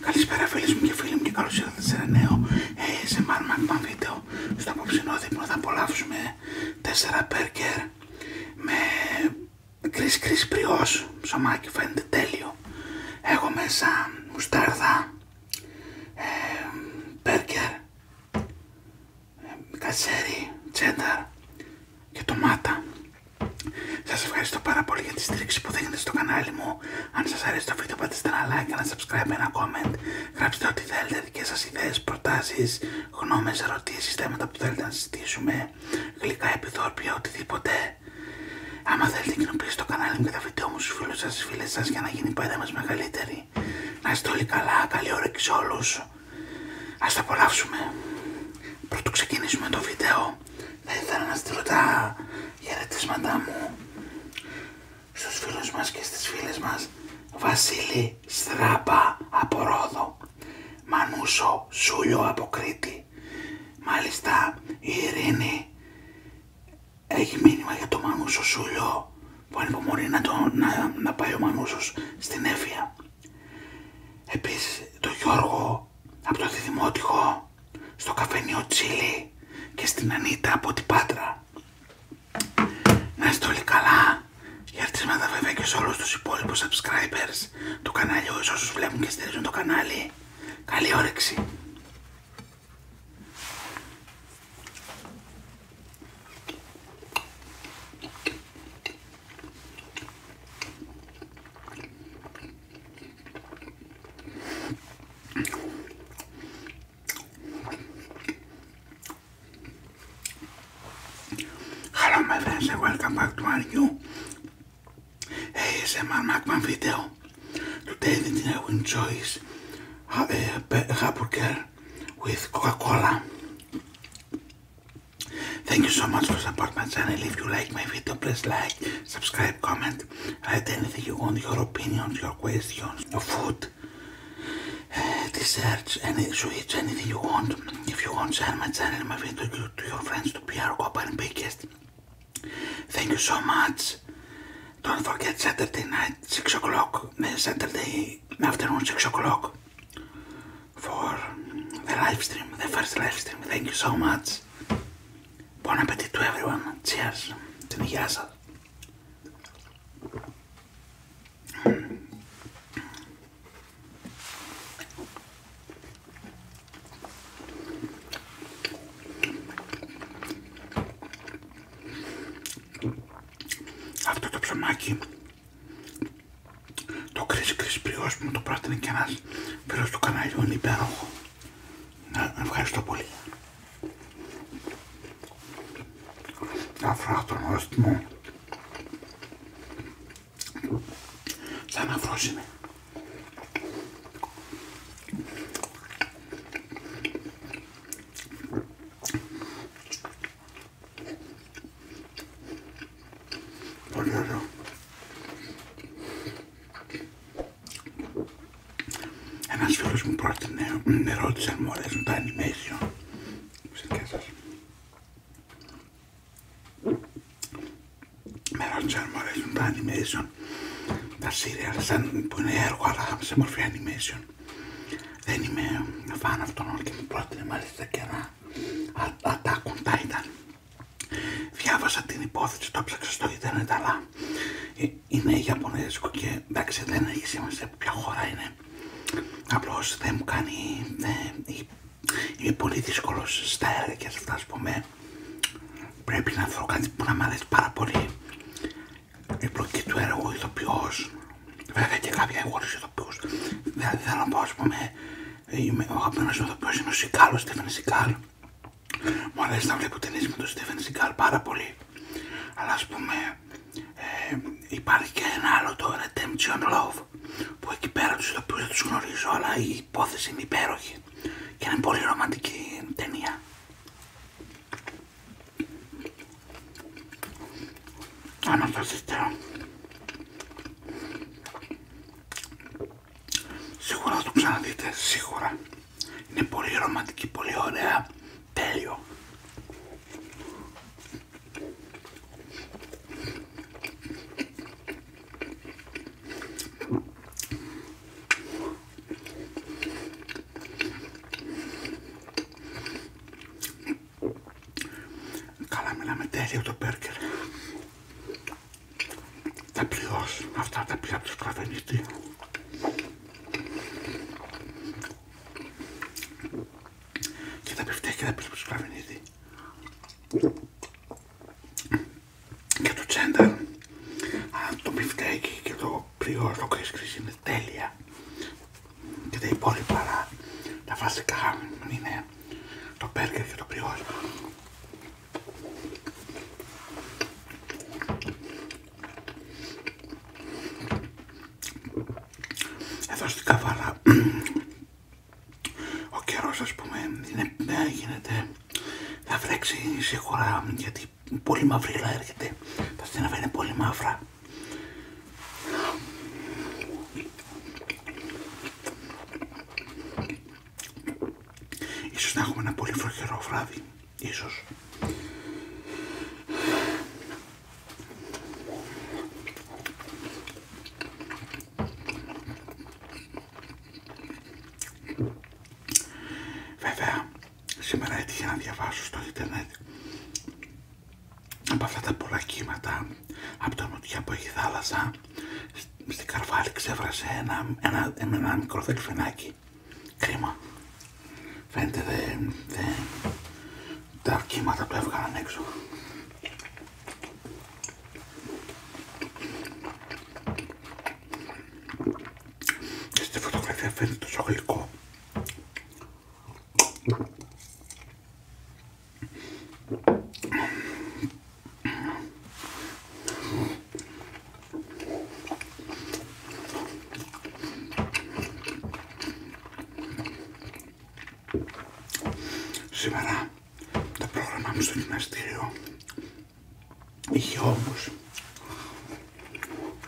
Καλησπέρα φίλε μου και φίλοι μου και καλώ ήρθατε σε ένα νέο ASMR Magma βίντεο Στο απόψινό δείπνο θα απολαύσουμε 4 περκερ με κρίς κρίς ψωμάκι φαίνεται τέλειο Έχω μέσα μουστάρδα, ε, περκερ κατσέρι, τσένταρ και ντομάτα. Σας ευχαριστώ πάρα πολύ για τη στήριξη που δείχνετε στο κανάλι μου. Αν σας αρέσει το βίντεο πατήστε ένα like, ένα subscribe, ένα comment. Γράψτε ό,τι θέλετε, δικές σας ιδέες, προτάσεις, γνώμες, ερωτήσεις, θέματα που θέλετε να συζητήσουμε, γλυκά επιδόρπια, οτιδήποτε. Άμα θέλετε κοινοποιήστε το κανάλι μου και τα βίντεο μου στους φίλους σας, στις φίλες σας για να γίνει πάντα μας μεγαλύτερη. Να είστε όλοι καλά, καλή και σε όλους. Ας το απολαύσουμε. πρωτο ξεκινήσουμε το βίντεο, θα ήθελα να στείλω τα χαιρετίσματά μου στους φίλους μας και στις φίλες μας. Βασίλη Στράμπα από Ρόδο, Μανούσο Σούλιο από Μάλιστα η Ειρήνη έχει μήνυμα για το Μανούσο Σούλιο που ανυπομονεί να, το, να, να πάει ο Μανούσος στην Εύφυα. Επίσης το Γιώργο από το Δημότυχο, στο καφενείο Τσίλι και στην Ανίτα από την Πάτρα. Να είστε όλοι καλά. Χαιρετίσματα βέβαια και σε όλους τους υπόλοιπους subscribers του καναλιού, εις όσους βλέπουν και στηρίζουν το κανάλι. Καλή όρεξη. Hello my friends and welcome back to our new ASMR Macman video. Today the dinner enjoys uh, quer. with Coca-Cola. Thank you so much for support my channel. If you like my video, please like, subscribe, comment, write anything you want, your opinions, your questions, your food, uh, desserts, any sweets, anything you want. If you want, share my channel, my video to your friends, to be our company biggest. Thank you so much. Don't forget Saturday night, 6 o'clock, eh, Saturday Friday afternoon, 6 o'clock, for the live the first livestream. Thank you so much. Bon appetit everyone. Cheers. Την υγεία σας. αυτό το ψωμάκι το κρίσι πριός που μου το πρότεινε και ένας φίλος του καναλιού είναι υπέροχο ευχαριστώ πολύ τον μου θα αναφρόσει με Πολύ ωραίο. Ένας φίλος μου πρότεινε, με ρώτησε αν μου αρέσουν τα animation. Ξέρετε σας. Με ρώτησε αν μου αρέσουν τα animation. Τα serial σαν που είναι έργο αλλά σε μορφή animation δεν είμαι φαν αυτών όλων και μου πρότεινε μάλιστα και ένα Attack on Titan. Διάβασα την υπόθεση, το ψάξα στο Ιντερνετ, αλλά ε, είναι Ιαπωνέζικο και εντάξει δεν έχει σημασία ποια χώρα είναι. Απλώ δεν μου κάνει. Ε, είμαι πολύ δύσκολο στα έργα και σε αυτά, α πούμε. Πρέπει να βρω κάτι που να μ' αρέσει πάρα πολύ η πλοκή του έργου ηθοποιός, βέβαια και κάποια εγώ τους ηθοποιούς, δηλαδή θέλω να πω ας πούμε, είμαι ο αγαπημένος ηθοποιός είναι ο Σικάλ, ο Στέφεν Σικάλ, μου αρέσει να βλέπω ταινίες με τον Στέφεν Σικάλ πάρα πολύ, αλλά ας πούμε, ε, υπάρχει και ένα άλλο το Redemption Love, που εκεί πέρα τους ηθοποιούς δεν τους γνωρίζω, αλλά η υπόθεση είναι υπέροχη και είναι πολύ ρομαντική ταινία. Σίγουρα θα το ξαναδείτε, σίγουρα. Είναι πολύ ρομαντική, πολύ ωραία. Τέλειο. Καλά μιλάμε τέλειο το μπέργκερ. Τα πληρώσει αυτά τα πια από το Και τα πιφτέκια τα πιφτέκια από το Και το τσέντα, το πιφτέκι και το πληρώσει το κρίσι είναι τέλεια και τα υπόλοιπα αλλά τα βασικά είναι το μπέργκερ και το πριόλ. Εδώ στην Καβάλα ο καιρός ας πούμε είναι, ε, γίνεται, θα βρέξει σίγουρα γιατί πολύ μαύρη έρχεται, τα στενά είναι πολύ μαύρα Ίσως να έχουμε ένα πολύ βροχερό βράδυ. Ίσως. Βέβαια, σήμερα έτυχε να διαβάσω στο ίντερνετ από αυτά τα πολλά κύματα από το νοτιά που έχει θάλασσα στην Καρβάλη ξέβρασε ένα, ένα, μικρό δελφινάκι κρίμα φαίνεται δε, τα κύματα που έβγαλαν έξω και στη φωτογραφία φαίνεται τόσο γλυκό Σήμερα το πρόγραμμα μου στο γυμναστήριο είχε όμως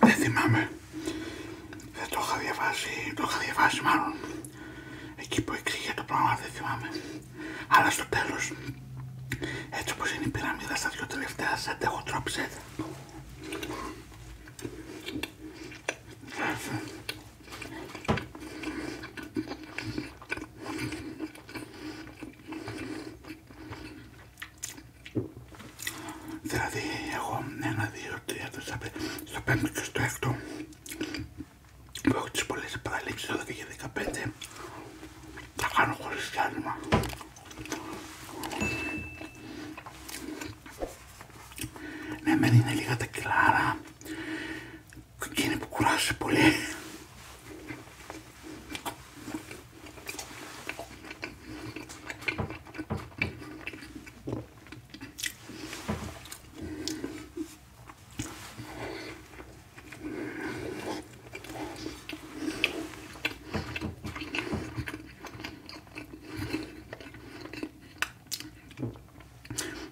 Δεν θυμάμαι. Δεν το είχα διαβάσει, το είχα διαβάσει μάλλον. Εκεί που εξήγε το πράγμα δεν θυμάμαι. Αλλά στο τέλος, έτσι όπως είναι η πυραμίδα στα δυο τελευταία, σαν έχω Δηλαδή έχω 1 2 3, στο πέμπτο και στο έκτο που έχω τις πολλές επαναλήψεις 12 και 15 τα κάνω χωρίς ναι, μεν είναι λίγα τα κιλάρα και είναι που κουράζει πολύ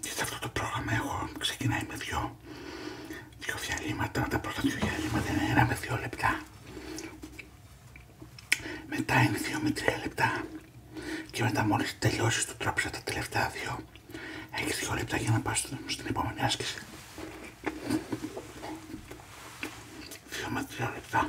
σε αυτό το πρόγραμμα έχω ξεκινάει με δυο, δυο διαλύματα, τα πρώτα δυο διαλύματα είναι ένα με δύο λεπτά. Μετά είναι δύο με τρία λεπτά και μετά μόλις τελειώσεις το τρόπισα τα τελευταία δύο έχεις δύο λεπτά για να πας στην επόμενη άσκηση. Δύο με τρία λεπτά.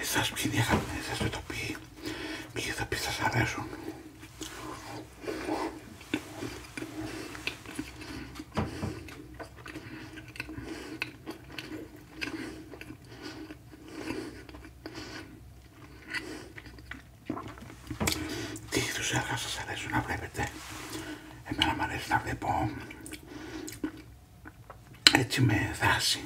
Εσάς ποιοι είναι οι το πει θα πει σας αρέσουν. Τι είδους έργα σας αρέσουν να βλέπετε. Εμένα μου αρέσει να βλέπω έτσι με δράση.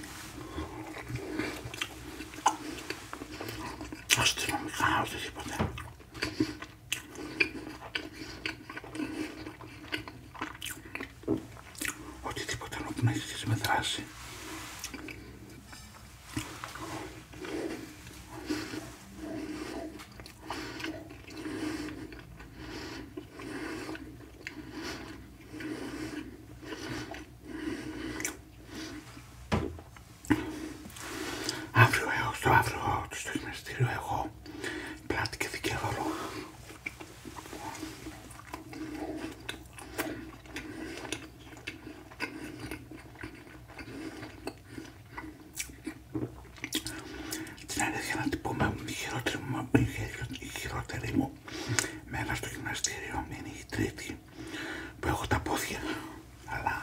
Αστυνομικά, τίποτε οτιδήποτε άλλο που να έχει σχέση με δράση. Αύριο έως το αύριο του στο γυμναστήριο έχω πλάτη και δικαίωρο την αλήθεια να την πούμε, η χειρότερη μου, μένα μέρα στο γυμναστήριο είναι η τρίτη που έχω τα πόδια, αλλά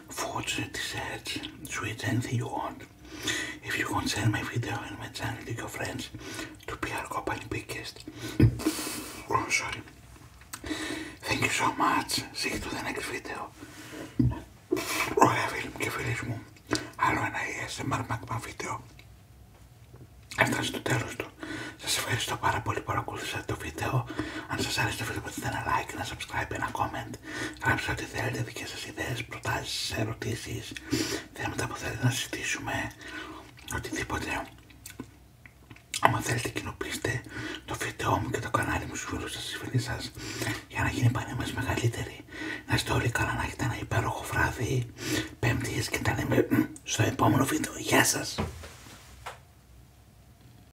foods, desserts, sweets, anything you want. If you want, share my video and my channel to your friends to be our company biggest. oh, sorry. Thank you so much. See you to the next video. Ωραία φίλοι μου και φίλες μου, άλλο ένα ASMR Magma βίντεο έφτασε στο τέλος του. Σας ευχαριστώ πάρα πολύ που παρακολουθήσατε το βίντεο. Αν σας άρεσε το βίντεο πατήστε ένα like, ένα subscribe, ένα comment. Γράψτε ό,τι θέλετε, δικές σας ιδέες, προτάσεις, ερωτήσεις. Θέματα που θέλετε να συζητήσουμε. Οτιδήποτε. Άμα θέλετε κοινοποιήστε το βίντεο μου και το κανάλι μου στους φίλους σας, στις φίλες σας για να γίνει πάνε μας μεγαλύτερη. Να είστε όλοι καλά, να έχετε ένα υπέροχο βράδυ, πέμπτης και τα λέμε στο επόμενο βίντεο. Γεια σας!